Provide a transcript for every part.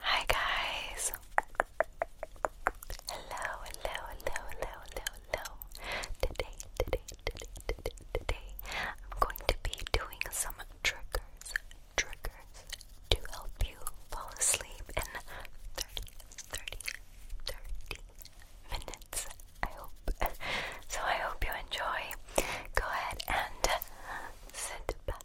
Hi guys! Hello, hello, hello, hello, hello, Today, today, today, today, today, I'm going to be doing some triggers, triggers to help you fall asleep in 30, 30, 30 minutes. I hope. So I hope you enjoy. Go ahead and sit back,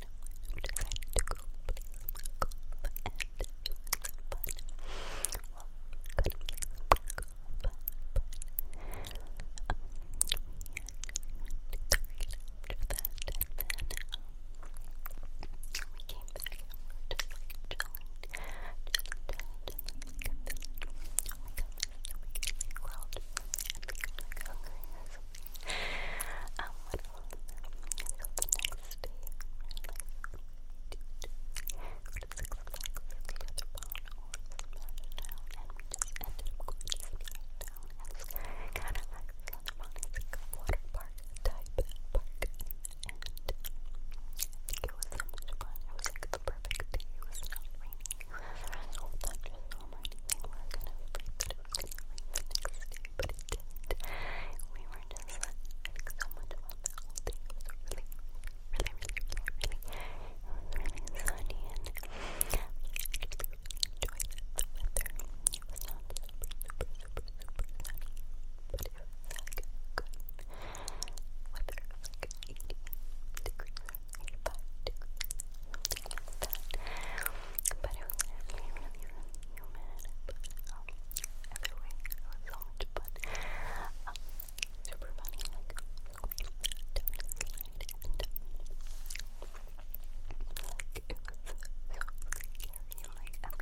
decided to go play some golf and do some fun. Well, we couldn't play some golf, but um, we had to after that, and then um, we came back and we were just like chilling, chilling, chilling, chilling. We kept feeling, oh my goodness, we get really growled, and we got like hungry as um, what else? the next day, go to 6 o'clock with the other phone and we just ended up going to Splashdown as kind of like a water park type park, and it was so much fun. It was like the perfect day. It was not raining. We were kind of afraid that it was the next day, did. We were just having so much fun the whole day. It was really, really, really, really, really, sunny and I just enjoyed the weather. It was not super, super, super, super sunny, but it was like good weather, like 80 degrees, 85 degrees, something like But it was really, really, really humid. But um, every week it was so much fun. Um, super funny, like definitely and like it was so scary. Like I'm not a, a drunk type of person. Like, I don't like doing scary things like like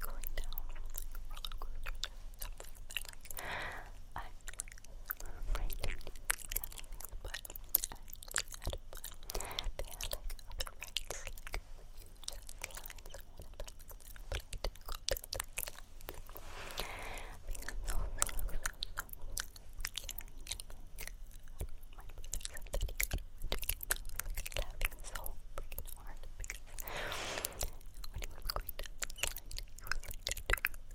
going down like roller coasters and stuff like that. Like I right now but I had fun. They had like other rights, like huge lines one of them, but I didn't go to the lines. Because those were so, so, so My brother said that he got overtaken. I was like laughing so freaking hard because when he was going down the line, he was like doing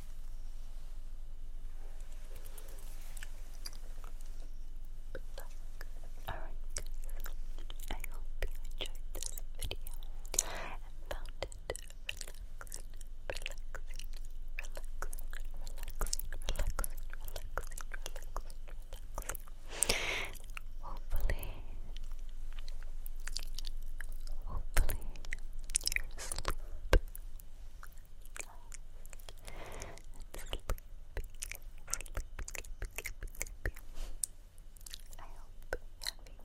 Alright I hope you enjoyed this video and found it relaxing, relaxing, relaxing, relaxing, relaxing, relaxing, relaxing, relaxing. Hopefully, hopefully your sleep I hope you have a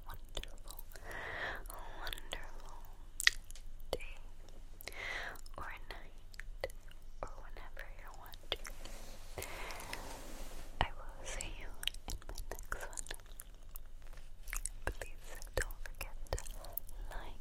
wonderful, wonderful day or night or whenever you're I will see you in my next one. Please don't forget to like